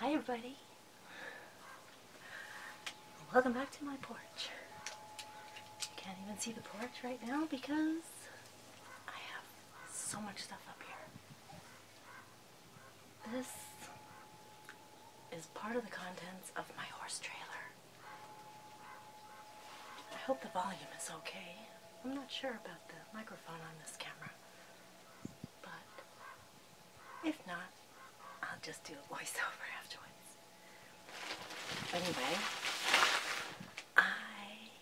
Hi, everybody. Welcome back to my porch porch. can't even see the porch right now because I have so much stuff up here. This is part of the contents of my horse trailer. I hope the volume is okay. I'm not sure about the microphone on this camera. But if not, I'll just do a voiceover afterwards. Anyway, I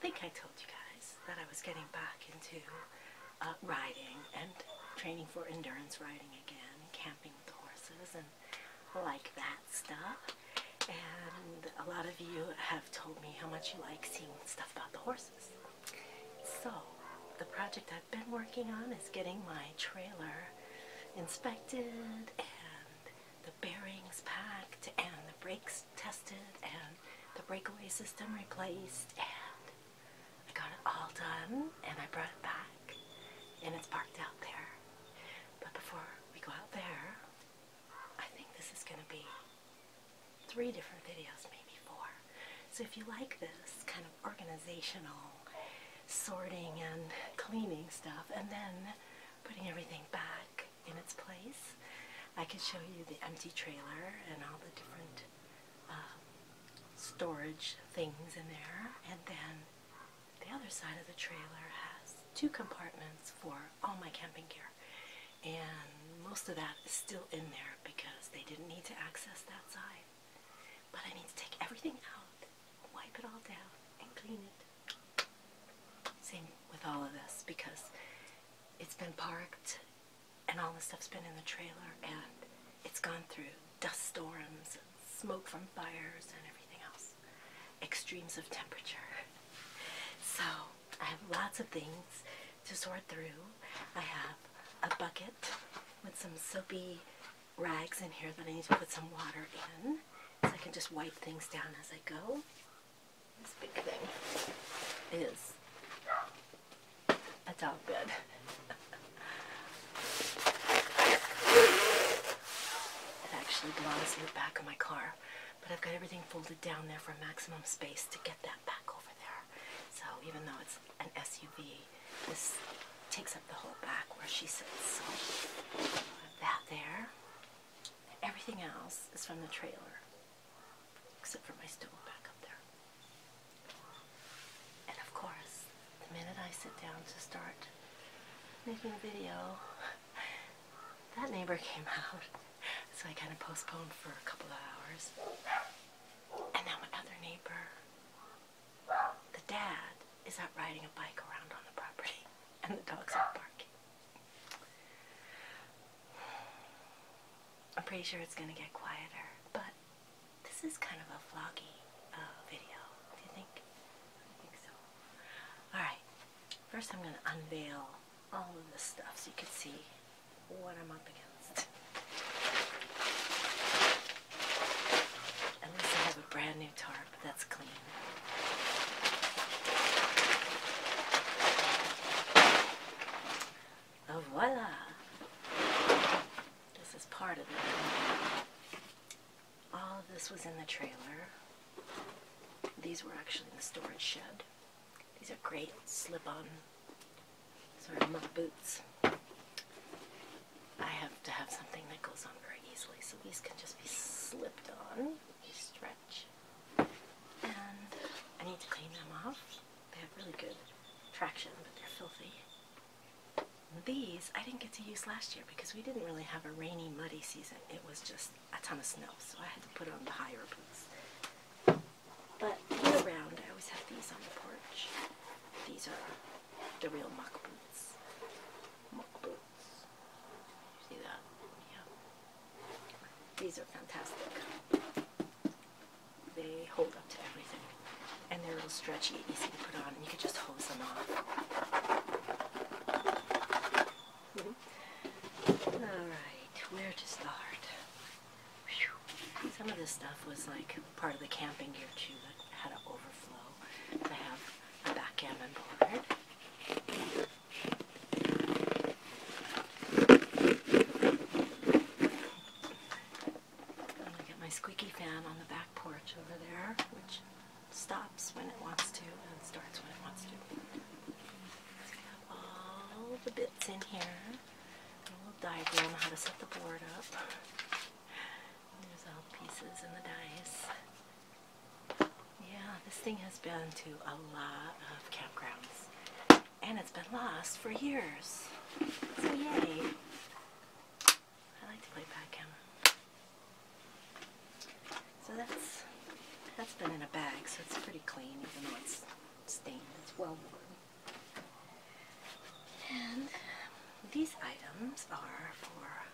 think I told you guys that I was getting back into uh, riding and training for endurance riding again, camping with the horses and like that stuff. And a lot of you have told me how much you like seeing stuff about the horses. So, the project I've been working on is getting my trailer inspected and the bearings packed and the brakes tested and the breakaway system replaced and I got it all done and I brought it back and it's parked out there. But before we go out there, I think this is going to be three different videos, maybe four. So if you like this kind of organizational sorting and cleaning stuff and then putting everything back in its place. I can show you the empty trailer and all the different uh, storage things in there. And then the other side of the trailer has two compartments for all my camping gear. And most of that is still in there because they didn't need to access that side. But I need to take everything out wipe it all down and clean it. Same with all of this because it's been parked and all the stuff's been in the trailer and it's gone through dust storms smoke from fires and everything else. Extremes of temperature. So I have lots of things to sort through. I have a bucket with some soapy rags in here that I need to put some water in. So I can just wipe things down as I go. This big thing is a dog bed. it actually belongs in the back of my car. But I've got everything folded down there for maximum space to get that back over there. So even though it's an SUV, this takes up the whole back where she sits. So that there. Everything else is from the trailer, except for my stool back up there. And of course, the minute I sit down to start making a video, that neighbor came out. So I kind of postponed for a couple of hours. And now my other neighbor the dad is out riding a bike around on the property, and the dogs are barking. I'm pretty sure it's going to get quieter, but this is kind of a vloggy uh, video, do you think? think so. Alright, first I'm going to unveil all of this stuff so you can see what I'm up against. At least I have a brand new new tarp that's clean. Oh, voila! This is part of it. All of this was in the trailer. These were actually in the storage shed. These are great slip-on sort of boots. I have to have something that goes on very easily, so these can just be slipped on. They stretch. And I need to clean them off. They have really good traction, but they're filthy. These I didn't get to use last year because we didn't really have a rainy, muddy season. It was just a ton of snow, so I had to put on the higher boots. But year round, I always have these on the porch. These are the real Muck boots see that? Yeah. These are fantastic. They hold up to everything. And they're a little stretchy and easy to put on, and you can just hose them off. Mm-hmm. Alright, where to start? Some of this stuff was like part of the camping gear too that had an overflow. I have a backgammon board. I get my squeaky fan on the back porch over there, which stops when it wants to and starts when it wants to. So I have all the bits in here. A little diagram how to set the board up. There's all the pieces and the dice. Yeah, this thing has been to a lot of campgrounds. And it's been lost for years. So yay. I like to play backgammon. So that's that's been in a bag, so it's pretty clean, even though it's stained. It's well worn. And these items are for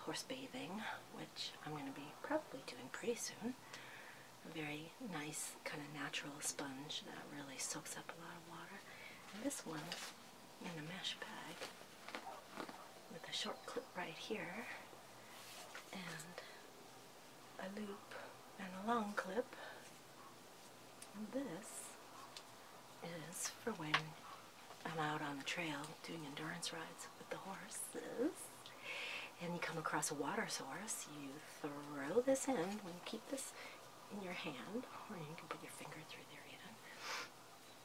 horse bathing, which I'm going to be probably doing pretty soon. A very nice kind of natural sponge that really soaks up a lot of water. And this one in a mesh bag with a short clip right here and a loop and a long clip. And this is for when I'm out on the trail doing endurance rides with the horses and you come across a water source, you throw this in, when you keep this in your hand, or you can put your finger through there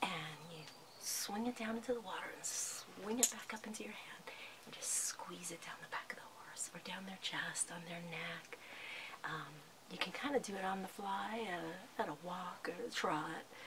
and you swing it down into the water and swing it back up into your hand and just squeeze it down the back of the horse or down their chest, on their neck. Um, you can kind of do it on the fly uh, at a walk or a trot.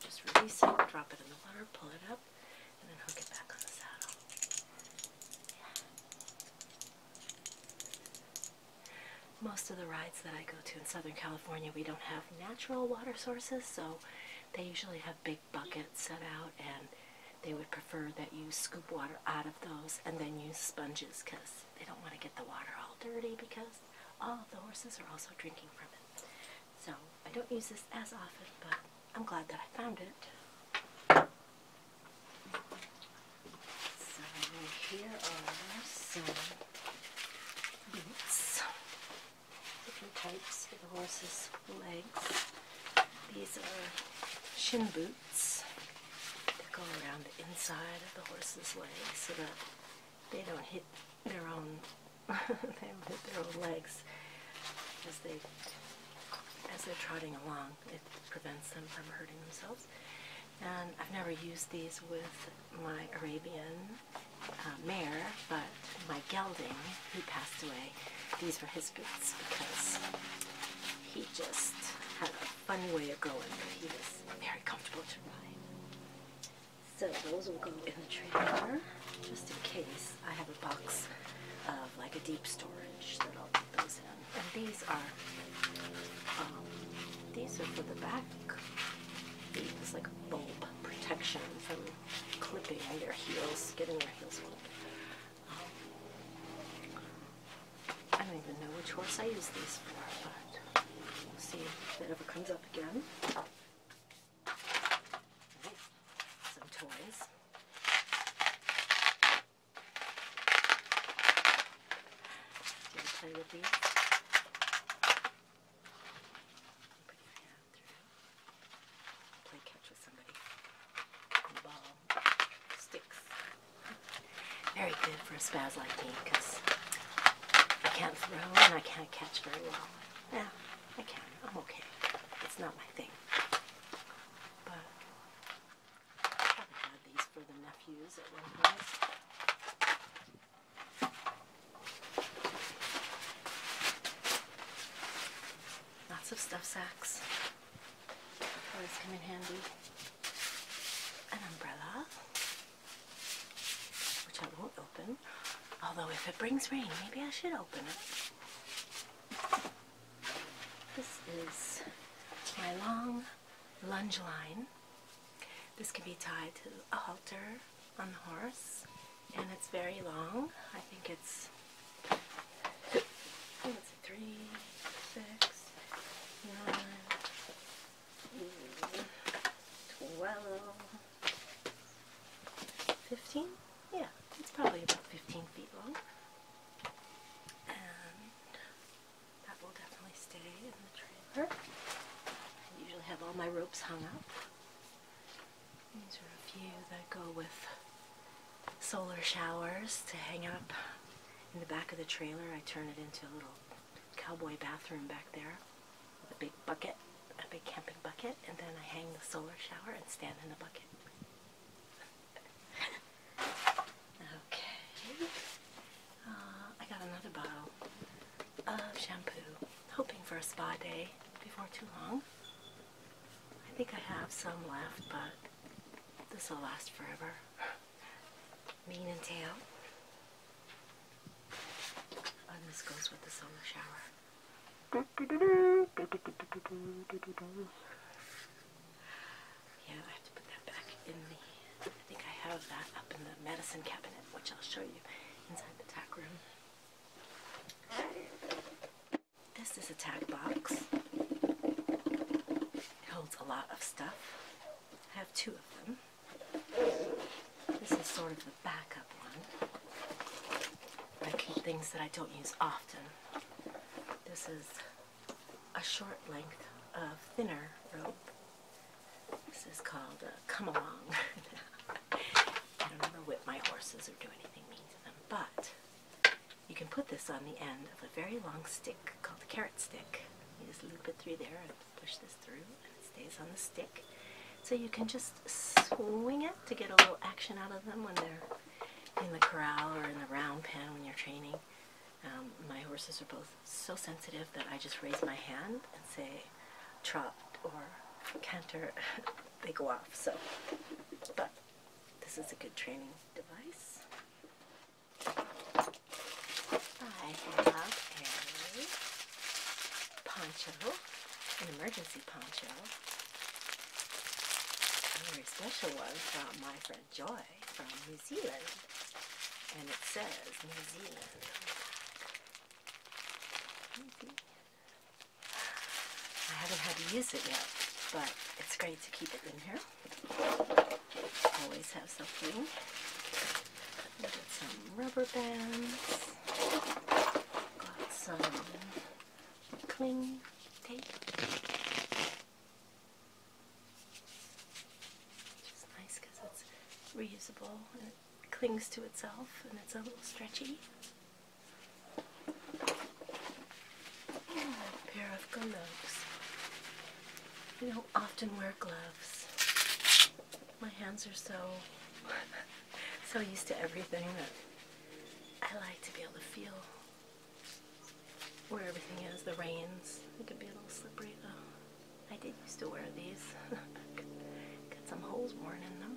just release it, drop it in the water, pull it up, and then hook it back on the saddle. Most of the rides that I go to in Southern California, we don't have natural water sources, so they usually have big buckets set out, and they would prefer that you scoop water out of those and then use sponges because they don't want to get the water all dirty because all of the horses are also drinking from it. So I don't use this as often, but I'm glad that I found it. So here are some boots, different types for the horse's legs. These are shin boots that go around the inside of the horse's leg so that they don't hit their own they hit their own legs as they as they're trotting along. It prevents them from hurting themselves. And I've never used these with my Arabian uh, mare, but my gelding, he passed away. These were his boots because he just had a funny way of going. He was very comfortable to ride. So those will go in the trailer, just in case I have a box of like a deep storage that I'll put those in. And these are, um, these are for the back. It's like a bulb protection from clipping their heels, getting their heels clipped. Um, I don't even know which horse I use these for, but we'll see if it ever comes up again. Some toys. Gonna play with these. Play catch with somebody. ball sticks. Very good for a spaz like me because I can't throw and I can't catch very well. Yeah, I can. I'm okay. It's not my thing. But probably had these for the nephews Lots of stuff sacks. Always come in handy. An umbrella which I won't open. Although if it brings rain, maybe I should open it. This is my long lunge line. This can be tied to a halter on the horse and it's very long. I think it's, it's oh, three, six, nine, twelve, 15? Yeah, it's probably about 15 feet long. that will definitely stay in the trailer. I usually have all my ropes hung up. These are a few that go with solar showers to hang up in the back of the trailer. I turn it into a little cowboy bathroom back there a big bucket, a big camping bucket, and then I hang the solar shower and stand in the bucket. okay. Uh, I got another bottle of shampoo, hoping for a spa day before too long. I think I have some left, but this will last forever. Mane and tail. Oh, this goes with the summer shower. Yeah, I have to put that back in the. I think I have that up in the medicine cabinet, which I'll show you inside the tack room. This is a tag box. It holds a lot of stuff. I have two of them. This is sort of the backup one. I keep things that I don't use often. This is a short length of thinner rope. This is called a come along. I don't ever whip my horses or do anything mean to them, but you can put this on the end of a very long stick called a carrot stick. You just loop it through there and push this through and it stays on the stick. So you can just swing it to get a little action out of them when they're in the corral or in the round pen when you're training. Um, my horses are both so sensitive that I just raise my hand and say trot or canter, they go off. So, but this is a good training device. I have a poncho, an emergency poncho. A very special one from my friend Joy from New Zealand. And it says New Zealand. I haven't had to use it yet, but it's great to keep it in here. Always have something. Got some rubber bands. Got some cling tape. Which is nice because it's reusable and it clings to itself and it's a little stretchy. pair of gloves. I don't often wear gloves. My hands are so so used to everything that I like to be able to feel where everything is, the reins. It could be a little slippery though. I did used to wear these. Got some holes worn in them.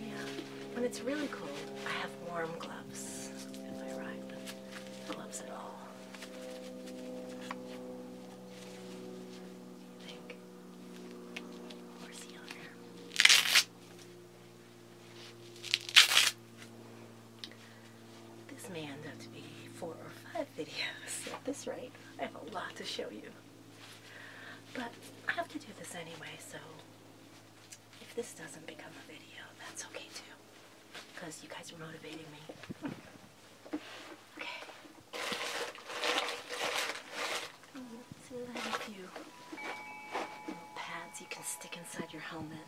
Yeah, when it's really cold, I have warm gloves in ride, but gloves at all. This may end up to be four or five videos at this rate. I have a lot to show you. But I have to do this anyway, so if this doesn't become a video, that's okay too. Because you guys are motivating me. Okay. Let's see you. pads you can stick inside your helmet.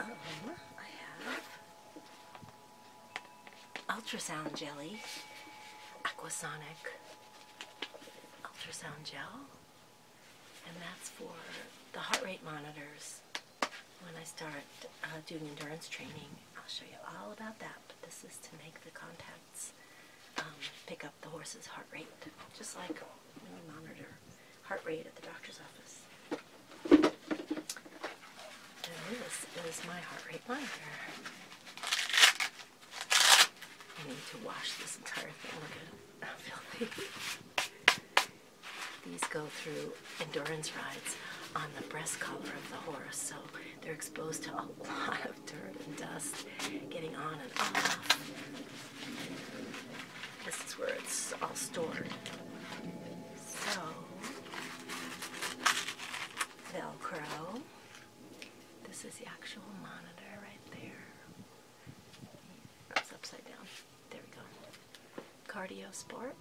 Um, I have ultrasound jelly, aquasonic ultrasound gel, and that's for the heart rate monitors when I start uh, doing endurance training. I'll show you all about that, but this is to make the contacts um, pick up the horse's heart rate, just like when we monitor heart rate at the doctor's office. this is my heart rate monitor. I need to wash this entire thing. Look at how filthy. These go through endurance rides on the breast collar of the horse, so they're exposed to a lot of dirt and dust getting on and off. This is where it's all stored. So, Velcro. This is the actual monitor right there. It's upside down. There we go. Cardio Sport.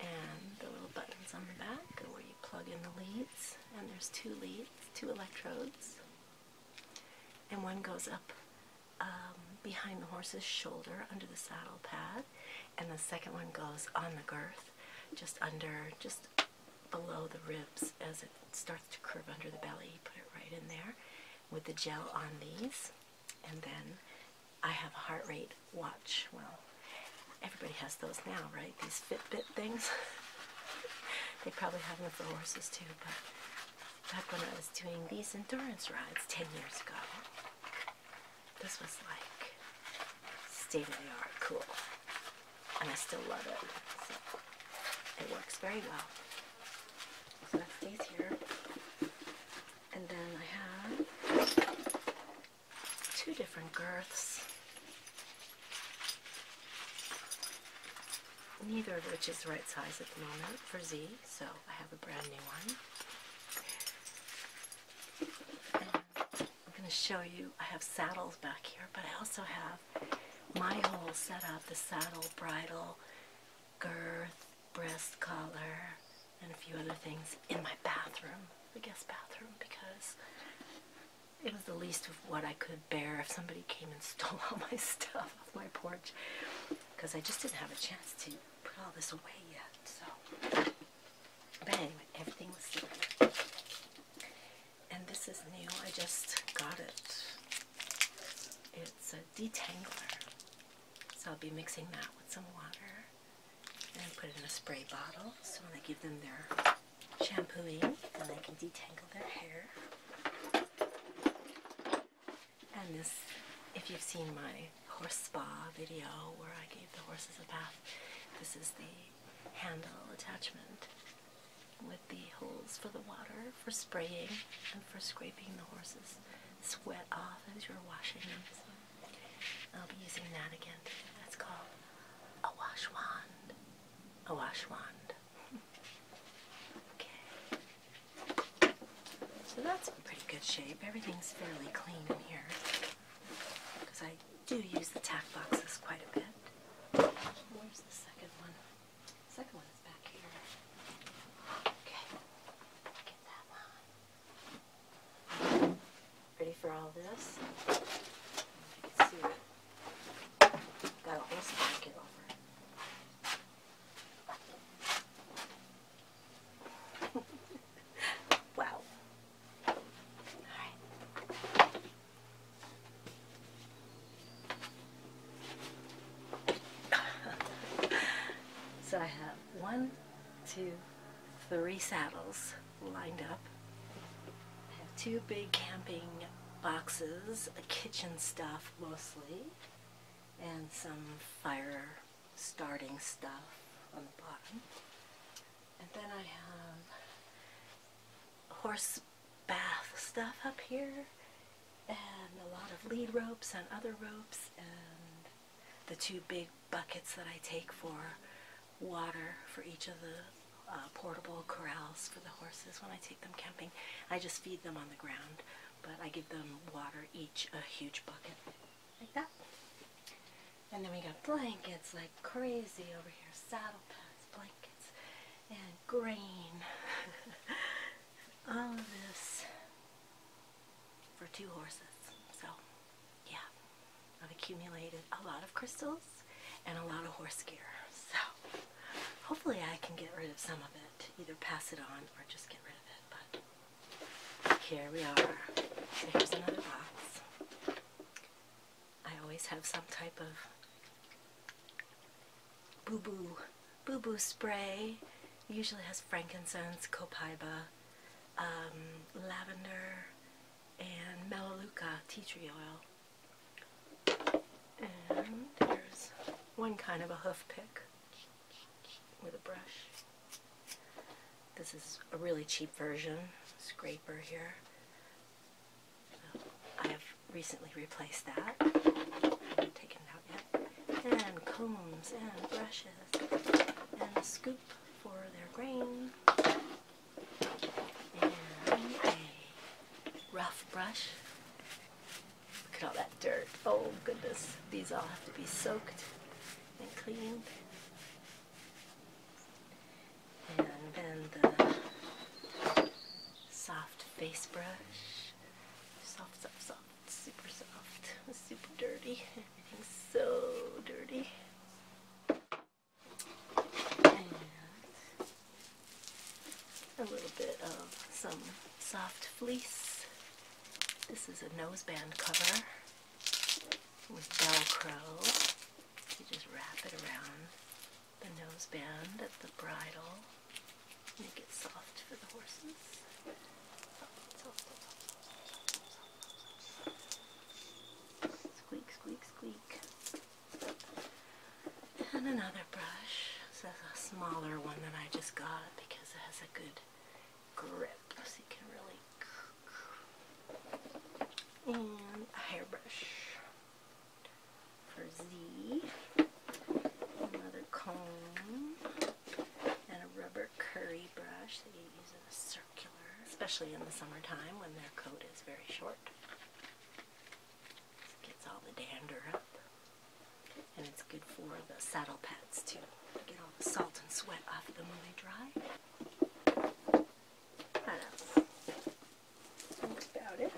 And the little buttons on the back are where you plug in the leads. And there's two leads, two electrodes. And one goes up um, behind the horse's shoulder under the saddle pad. And the second one goes on the girth, just under, just below the ribs as it starts to curve under the belly. You put it right in there with the gel on these. And then I have a heart rate watch. Well, everybody has those now, right? These Fitbit things. they probably have them for horses too, but back when I was doing these endurance rides 10 years ago, this was like state of the art cool. And I still love it. it works very well. So that stays here. And then I have two different girths. Neither of which is the right size at the moment for Z, so I have a brand new one. I'm going to show you, I have saddles back here, but I also have my whole setup, the saddle, bridle, girth, breast collar, and a few other things in my bathroom, the guest bathroom, because it was the least of what I could bear if somebody came and stole all my stuff off my porch, because I just didn't have a chance to put all this away yet, so. But anyway, everything's there. And this is new, I just got it. It's a detangler. So I'll be mixing that with some water and put it in a spray bottle so when I give them their shampooing, then I can detangle their hair. And this, if you've seen my horse spa video where I gave the horses a bath, this is the handle attachment with the holes for the water, for spraying, and for scraping the horses sweat off as you're washing them. So I'll be using that again. That's called a wash wand. A wash wand. okay. So that's in pretty good shape. Everything's fairly clean in here. Because I do use the tack boxes quite a bit. Where's the second one? Second one is back here. Okay. Get that one. Ready for all this? see Got a whole stack over. wow. All right. so I have one, two, three saddles lined up. I have two big camping boxes, kitchen stuff mostly, and some fire starting stuff on the bottom. And then I have horse bath stuff up here and a lot of lead ropes and other ropes and the two big buckets that I take for water for each of the uh, portable corrals for the horses when I take them camping. I just feed them on the ground, but I give them water each a huge bucket like that. And then we got blankets like crazy over here, saddle pads, blankets, and grain. All of this for two horses. So, yeah, I've accumulated a lot of crystals and a lot of horse gear. So, hopefully, I can get rid of some of it, either pass it on or just get rid of it. But here we are. Here's another box. I always have some type of Boo Boo, Boo Boo spray. usually has frankincense, copaiba, um, lavender, and melaleuca tea tree oil. And there's one kind of a hoof pick with a brush. This is a really cheap version, scraper here. I have recently replaced that. haven't taken it out yet and combs and brushes and a scoop for their grain and a rough brush. Look at all that dirt. Oh goodness, these all have to be soaked and cleaned. And then the soft face brush. Soft, soft, soft super soft, super dirty. Everything's so dirty. a little bit of some soft fleece. This is a noseband cover with Velcro. You just wrap it around the noseband at the bridle. Make it soft for the horses. Squeak, squeak, squeak. And another brush. This is a smaller one that I just got because it has a good grip. So you can really... And a hairbrush for Z another comb, and a rubber curry brush that you use in a circular, especially in the summertime when their coat is very short. gets all the dander up. And it's good for the saddle pads too. Get all the salt and sweat off them when they dry. That's about it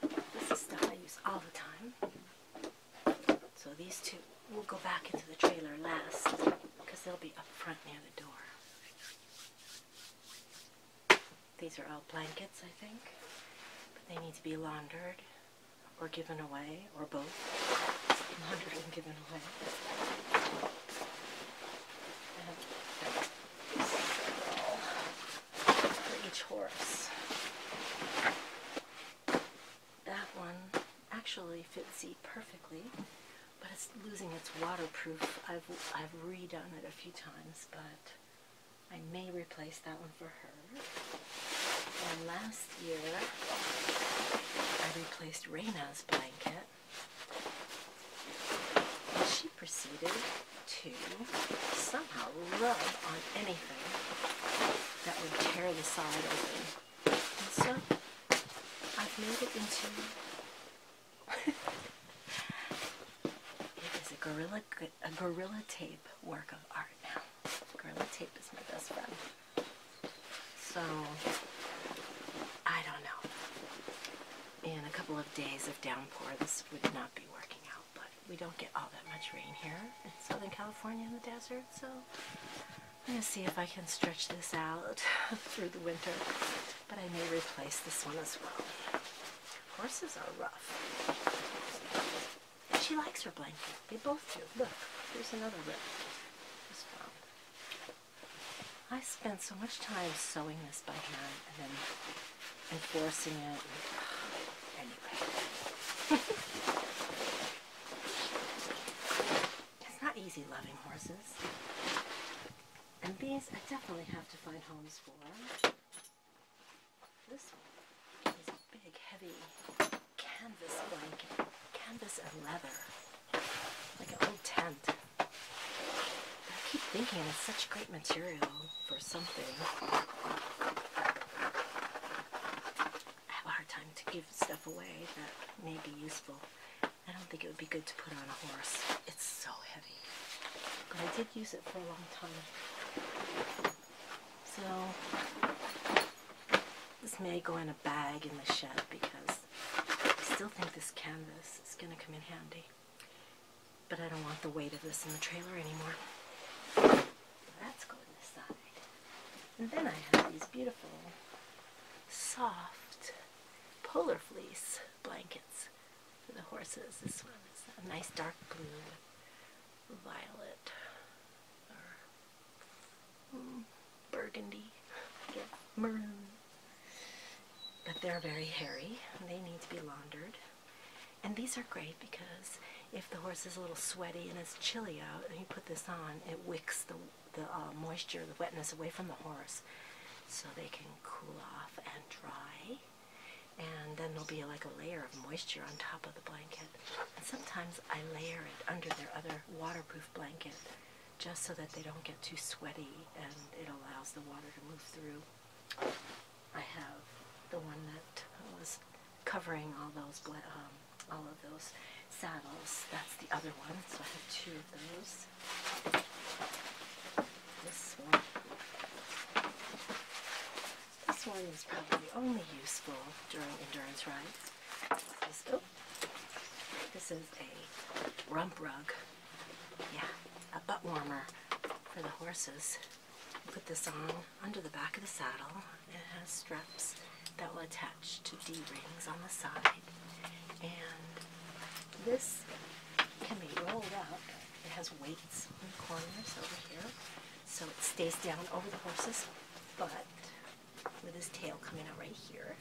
this is stuff I use all the time. So these two will go back into the trailer last because they'll be up front near the door. These are all blankets, I think, but they need to be laundered or given away or both. Laundered and given away. And for each horse. That one actually fits Z perfectly, but it's losing its waterproof. I've, I've redone it a few times, but I may replace that one for her. And last year, I replaced Reina's blanket. She proceeded to somehow rub on anything that would tear the side open. so I've made it into it is a gorilla a gorilla tape work of art now. Gorilla tape is my best friend. So I don't know. In a couple of days of downpour, this would not be working out but we don't get all that much rain here in Southern California in the desert, so I'm going to see if I can stretch this out through the winter, but I may replace this one as well. Horses are rough. She likes her blanket. They both do. Look, there's another rip. Just found. I spent so much time sewing this by hand and then enforcing it. Anyway. it's not easy loving horses. And these I definitely have to find homes for. This one big, heavy canvas blanket. Canvas and leather. Like an old tent. I keep thinking it's such great material for something. I have a hard time to give stuff away that may be useful. I don't think it would be good to put on a horse. It's so heavy. But I did use it for a long time. So, this may go in a bag in the shed because I still think this canvas is going to come in handy. But I don't want the weight of this in the trailer anymore. That's going this And then I have these beautiful, soft, polar fleece blankets for the horses. This one is a nice dark blue violet or hmm, burgundy, I guess, maroon. But they're very hairy they need to be laundered. And these are great because if the horse is a little sweaty and it's chilly out and you put this on, it wicks the, the uh, moisture, the wetness away from the horse so they can cool off and dry. And then there'll be like a layer of moisture on top of the blanket. And sometimes I layer it under their other waterproof blanket just so that they don't get too sweaty and it allows the water to move through. I have the one that was covering all those um, all of those saddles. That's the other one, so I have two of those. This one. This one is probably only useful during endurance rides. This, oh, this is a rump rug. Yeah, a butt warmer for the horses put this on under the back of the saddle. It has straps that will attach to D-rings on the side. And this can be rolled up. It has weights in the corners over here. So it stays down over the horse's butt with his tail coming out right here.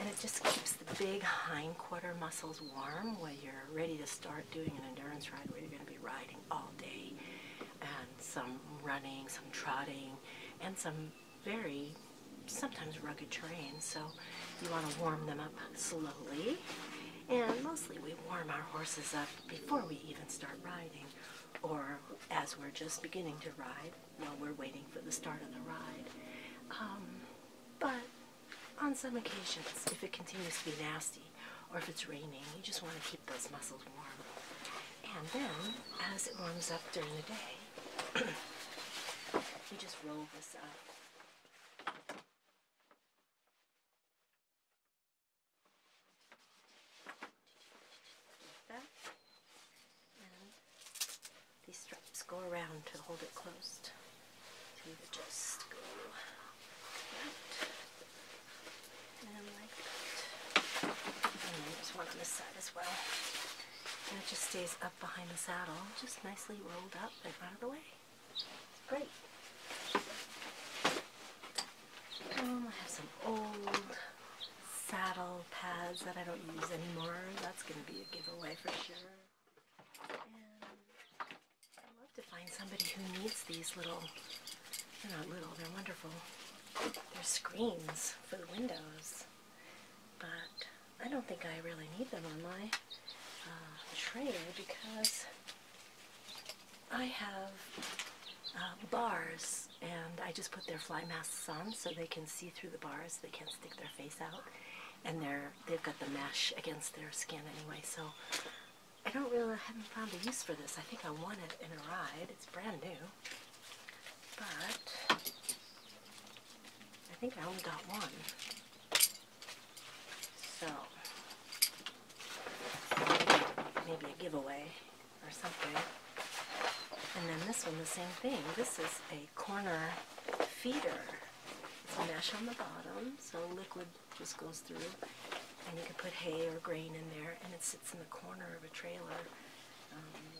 And it just keeps the big hind quarter muscles warm while you're ready to start doing an endurance ride where you're going to be riding all day and some running, some trotting, and some very sometimes rugged terrain. So you want to warm them up slowly. And mostly we warm our horses up before we even start riding or as we're just beginning to ride while we're waiting for the start of the ride. Um, but on some occasions, if it continues to be nasty or if it's raining, you just want to keep those muscles warm. And then, as it warms up during the day, you just roll this up. Like that. And these straps go around to hold it closed either just go like and that. And then there's one this side as well. And it just stays up behind the saddle, just nicely rolled up and out of the way. It's great. Um, I have some old saddle pads that I don't use anymore. That's going to be a giveaway for sure. I'd love to find somebody who needs these little, they're not little, they're wonderful. They're screens for the windows. But I don't think I really need them on my uh, tray because I have uh, bars and I just put their fly masks on so they can see through the bars, they can't stick their face out and they're they've got the mesh against their skin anyway. So I don't really haven't found a use for this. I think I want it in a ride. It's brand new, but I think I only got one. So maybe a giveaway or something. And then this one, the same thing. This is a corner feeder. It's mesh on the bottom, so liquid just goes through. And you can put hay or grain in there, and it sits in the corner of a trailer. Um,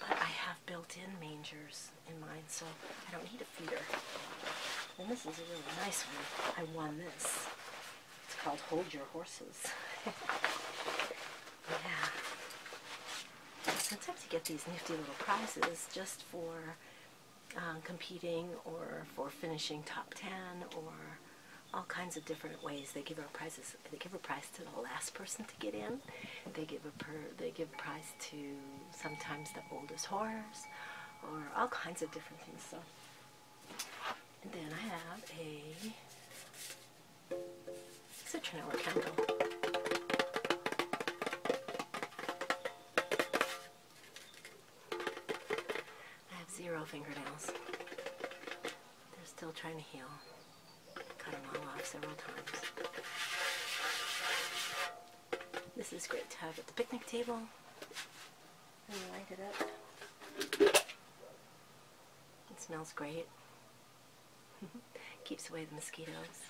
but I have built-in mangers in mine, so I don't need a feeder. And this is a really nice one. I won this. It's called Hold Your Horses. yeah. Sometimes you get these nifty little prizes just for um, competing or for finishing top 10 or all kinds of different ways. They give our prizes. They give a prize to the last person to get in. They give a per, they give a prize to sometimes the oldest horse or all kinds of different things. So, and then I have a citronella candle. I have zero fingernails. They're still trying to heal. Cut them all off several times. This is great to have at the picnic table. And light it up. It smells great. Keeps away the mosquitoes.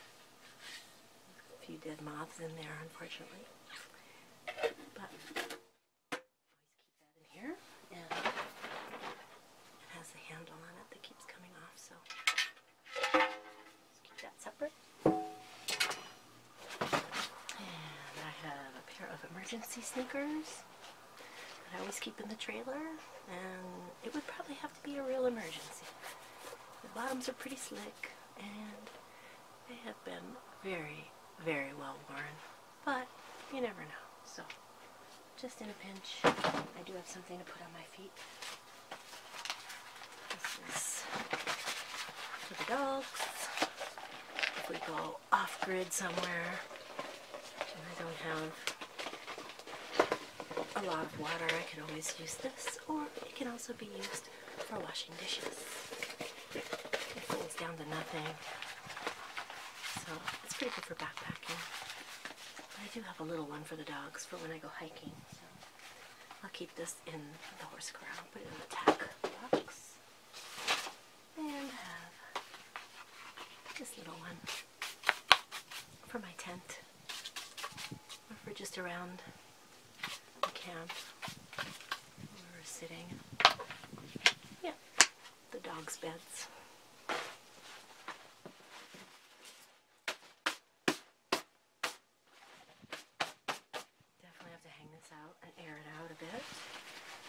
A few dead moths in there, unfortunately. But always keep that in here. And it has a handle on it that keeps coming off, so keep that separate. And I have a pair of emergency sneakers. I always keep in the trailer and it would probably have to be a real emergency. The bottoms are pretty slick and they have been very, very well worn, but you never know. So, just in a pinch, I do have something to put on my feet. This is for the dogs. If we go off grid somewhere, I don't have a lot of water, I can always use this, or it can also be used for washing dishes. it's down to nothing. So it's pretty good for backpacking. I do have a little one for the dogs for when I go hiking. So I'll keep this in the horse corral, put it in the tack box. And have this little one for my tent or for just around the camp we were sitting. Yeah, the dog's beds. Definitely have to hang this out and air it out a bit.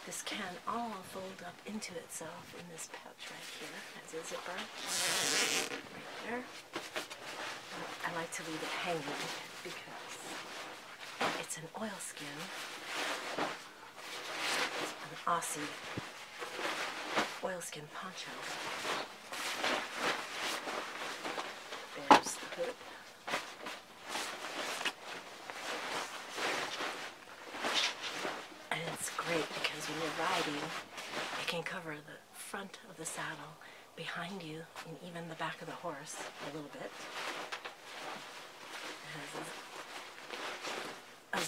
This can all fold up into itself in this pouch right here as a zipper. Right there. I like to leave it hanging because it's an oilskin, an Aussie oilskin poncho. There's the hood. And it's great because when you're riding, it can cover the front of the saddle behind you and even the back of the horse a little bit. It has a,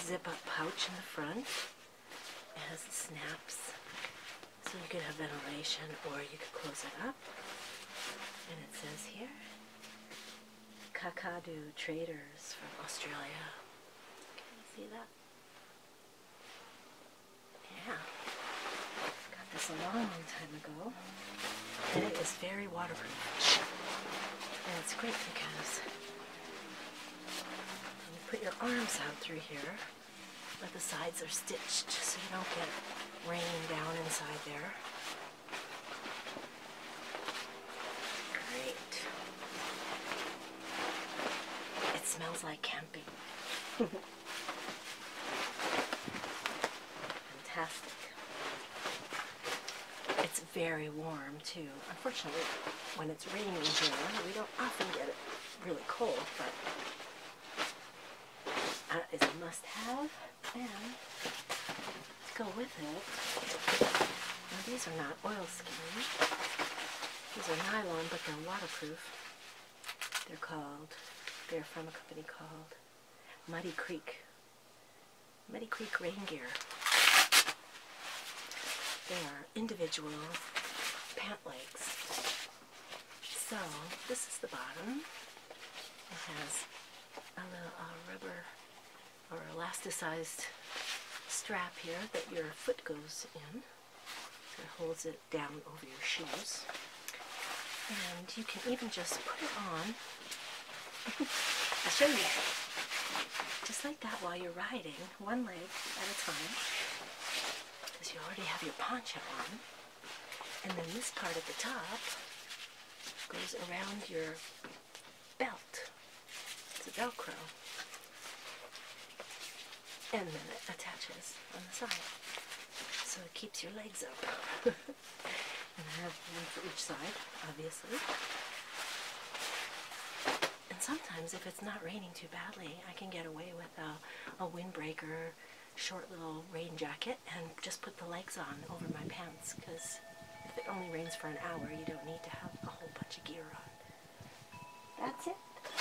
zip-up pouch in the front. It has snaps, so you can have ventilation or you can close it up. And it says here, Kakadu traders from Australia. Can you see that? Yeah. Got this a long, long time ago. And it is very waterproof. And it's great because when you put your arms out through here, but the sides are stitched so you don't get rain down inside there. Great. It smells like camping. Fantastic. It's very warm too. Unfortunately, when it's raining here, we don't often get it really cold, but that is a must-have. And let's go with it, these are not oilskin. These are nylon, but they're waterproof. They're called, they're from a company called Muddy Creek. Muddy Creek Rain Gear. They are individual pant legs. So, this is the bottom. It has a little uh, rubber or elasticized strap here that your foot goes in it holds it down over your shoes. And you can even just put it on. I'll show you. Just like that while you're riding, one leg at a time. Because you already have your poncho on. And then this part at the top goes around your belt. It's a Velcro and then it attaches on the side. So it keeps your legs up. and I have one for each side, obviously. And sometimes if it's not raining too badly, I can get away with a, a windbreaker, short little rain jacket, and just put the legs on over my pants, because if it only rains for an hour, you don't need to have a whole bunch of gear on. That's it.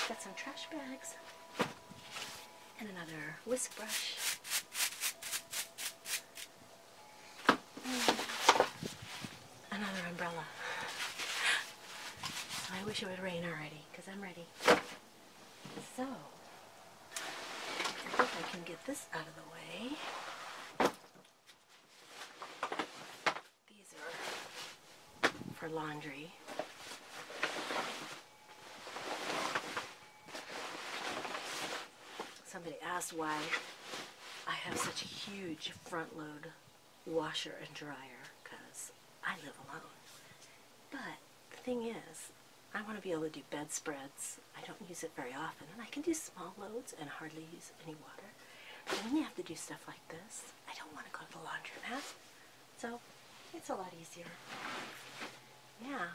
Got some trash bags and another whisk brush. Mm. another umbrella. I wish it would rain already because I'm ready. So, I can get this out of the way. These are for laundry. Somebody asked why I have such a huge front load washer and dryer because I live alone. But the thing is, I want to be able to do bed spreads. I don't use it very often, and I can do small loads and hardly use any water. But when you have to do stuff like this, I don't want to go to the laundromat. So it's a lot easier. Now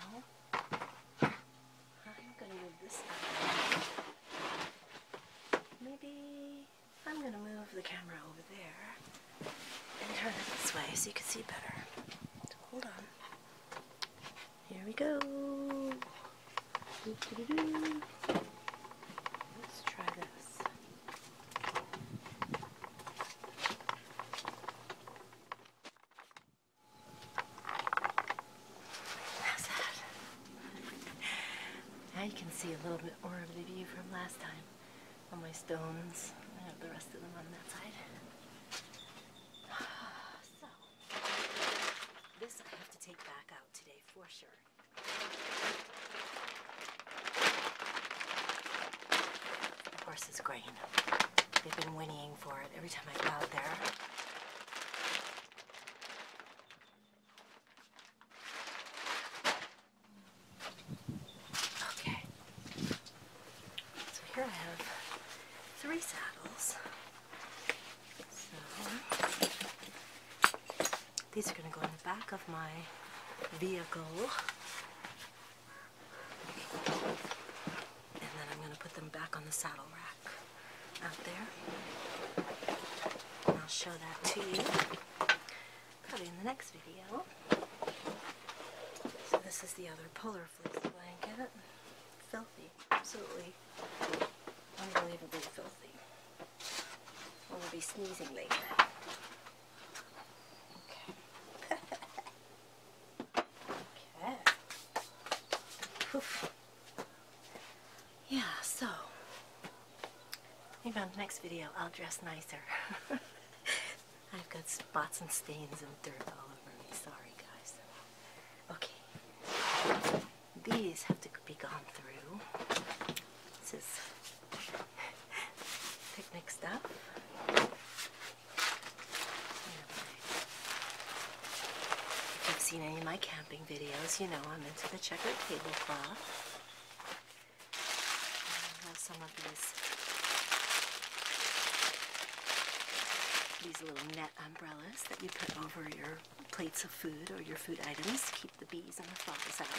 I'm gonna move this Maybe I'm gonna move the camera over there and turn it this way so you can see better. hold on. Here we go. Let's try this. How's that? Now you can see a little bit more of the view from last time on my stones. I have the rest of them on that side. So, this I have to take back out today for sure. The horse's grain. They've been whinnying for it every time I go out there. Okay. So here I have three saddles. So these are going to go in the back of my vehicle. And then I'm going to put them back on the saddle rack out there. And I'll show that to you probably in the next video. So this is the other polar fleece blanket. Filthy. Absolutely unbelievably filthy. I will be sneezing later. Okay. okay. Oof. Yeah, so maybe on the next video I'll dress nicer. I've got spots and stains and dirt all over me. Sorry, guys. Okay. These have to be gone through. This Picnic stuff. If you've seen any of my camping videos, you know I'm into the checkered tablecloth. I have some of these these little net umbrellas that you put over your plates of food or your food items to keep the bees and the flies out.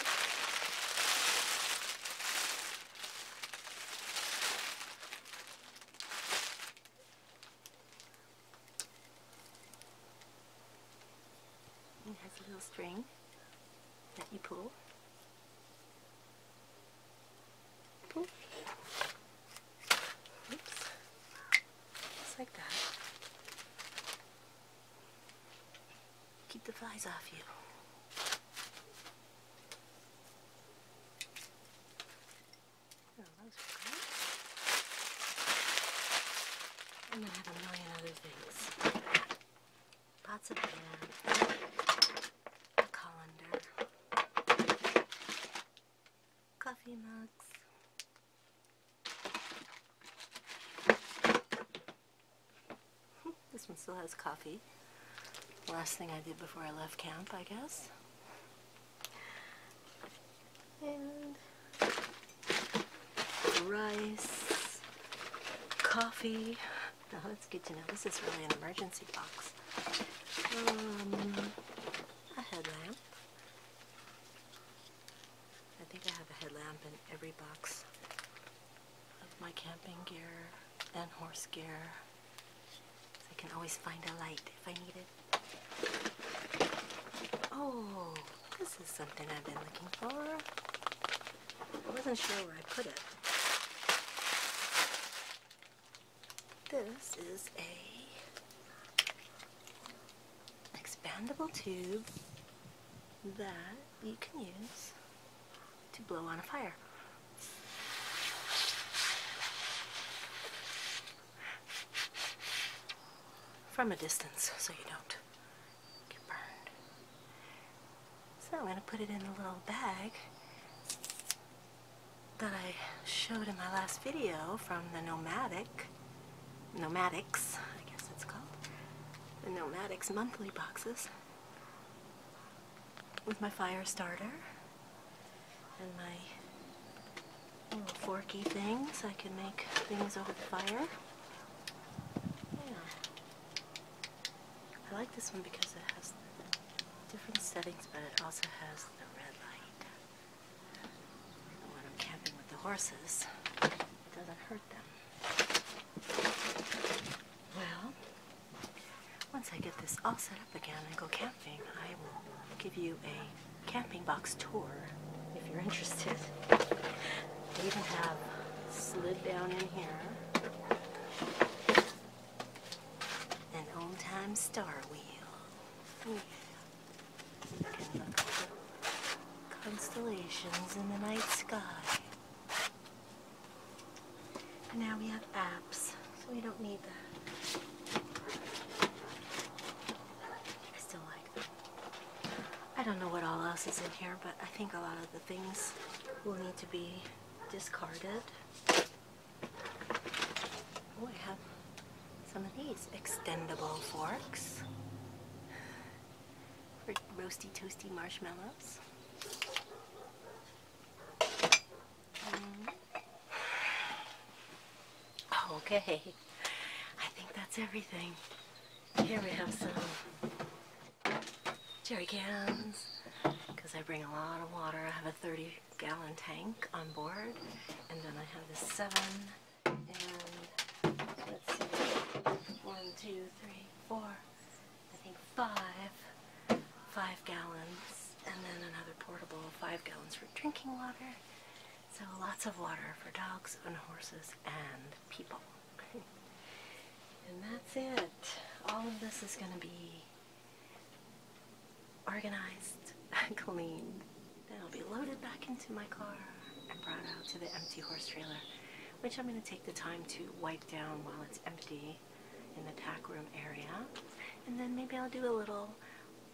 It has a little string that you pull. Pull. Oops. Just like that. Keep the flies off you. Oh, those were great. have a million other things. Pots of pan, colander, coffee mugs, this one still has coffee. Last thing I did before I left camp, I guess. rice, coffee. Now that's good to know. This is really an emergency box. Um, a headlamp. I think I have a headlamp in every box my camping gear and horse gear. I can always find a light if I need it. Oh, this is something I've been looking for. I wasn't sure where I put it. This is a expandable tube that you can use to blow on a fire. From a distance so you don't get burned. So I'm going to put it in a little bag that I showed in my last video from the Nomadic, Nomadics, I guess it's called, the Nomadics monthly boxes with my fire starter and my little forky things. I can make things over the fire. Yeah. I like this one because it has different settings, but it also has the red light. when I'm camping with the horses, it doesn't hurt them. Well, once I get this all set up again and go camping, I will give you a camping box tour if you're interested. We even have slid down in here an old time star wheel. We can look at constellations in the night sky. And now we have apps, so we don't need that. I still like I don't know what all else is in here, but I think a lot of the things will need to be discarded. Oh, I have some of these extendable forks for roasty toasty marshmallows. Mm-hmm. Oh, okay, I think that's everything. Here we have some jerry cans, because I bring a lot of water. I have a 30 gallon tank on board, and then I have the seven, and let's see, one, two, three, four, I think five, five gallons, and then another portable five gallons for drinking water. So lots of water for dogs and horses and people. and that's it. All of this is going to be organized, cleaned. Then i will be loaded back into my car and brought out to the empty horse trailer, which I'm going to take the time to wipe down while it's empty in the tack room area, and then maybe I'll do a little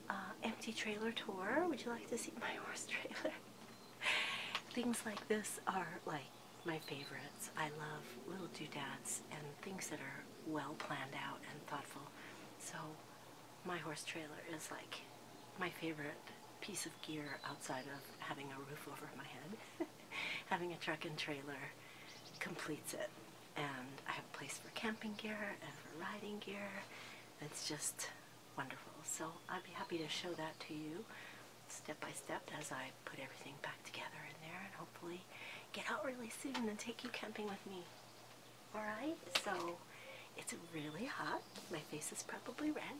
uh, empty trailer tour. Would you like to see my horse trailer? things like this are like my favorites. I love little doodads and things that are well planned out and thoughtful. So my horse trailer is like my favorite piece of gear outside of having a roof over my head. having a truck and trailer completes it. And I have a place for camping gear and for riding gear. It's just wonderful. So I'd be happy to show that to you step by step as I put everything back together in there and hopefully get out really soon and take you camping with me. Alright, so it's really hot. My face is probably red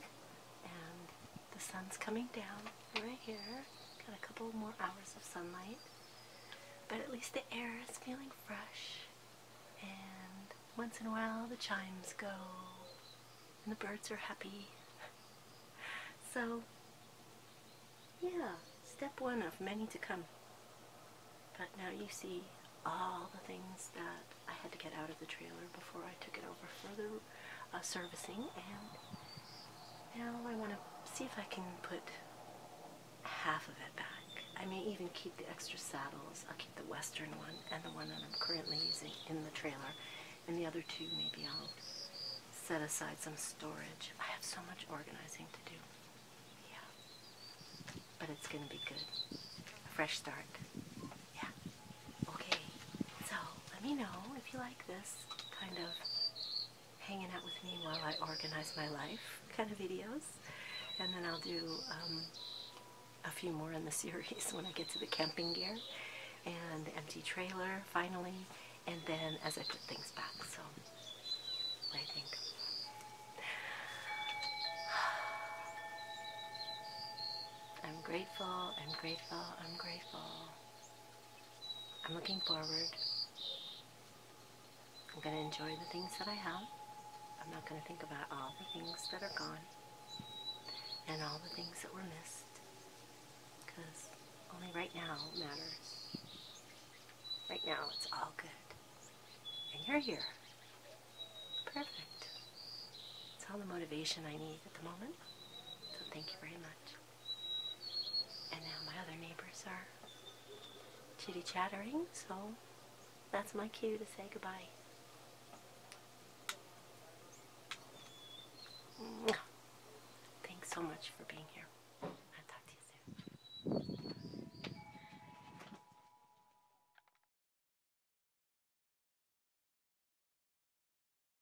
and the sun's coming down right here. Got a couple more hours of sunlight, but at least the air is feeling fresh. And once in a while, the chimes go, and the birds are happy. so, yeah, step one of many to come. But now you see all the things that I had to get out of the trailer before I took it over for them uh, servicing and now I want to see if I can put half of it back. I may even keep the extra saddles. I'll keep the western one and the one that I'm currently using in the trailer and the other two maybe I'll set aside some storage. I have so much organizing to do. Yeah. But it's going to be good. A fresh start. Yeah. Okay, so let me know if you like this kind of hanging out with me while I organize my life kind of videos. And then I'll do um, a few more in the series when I get to the camping gear and the empty trailer finally. And then as I put things back, so I think. I'm grateful, I'm grateful, I'm grateful. I'm looking forward. I'm going to enjoy the things that I have. I'm not going to think about all the things that are gone and all the things that were missed because only right now matters. Right now it's all good. And you're here. Perfect. It's all the motivation I need at the moment. So thank you very much. And now my other neighbors are chitty chattering, so that's my cue to say goodbye. Thanks so much for being here. I'll talk to you soon.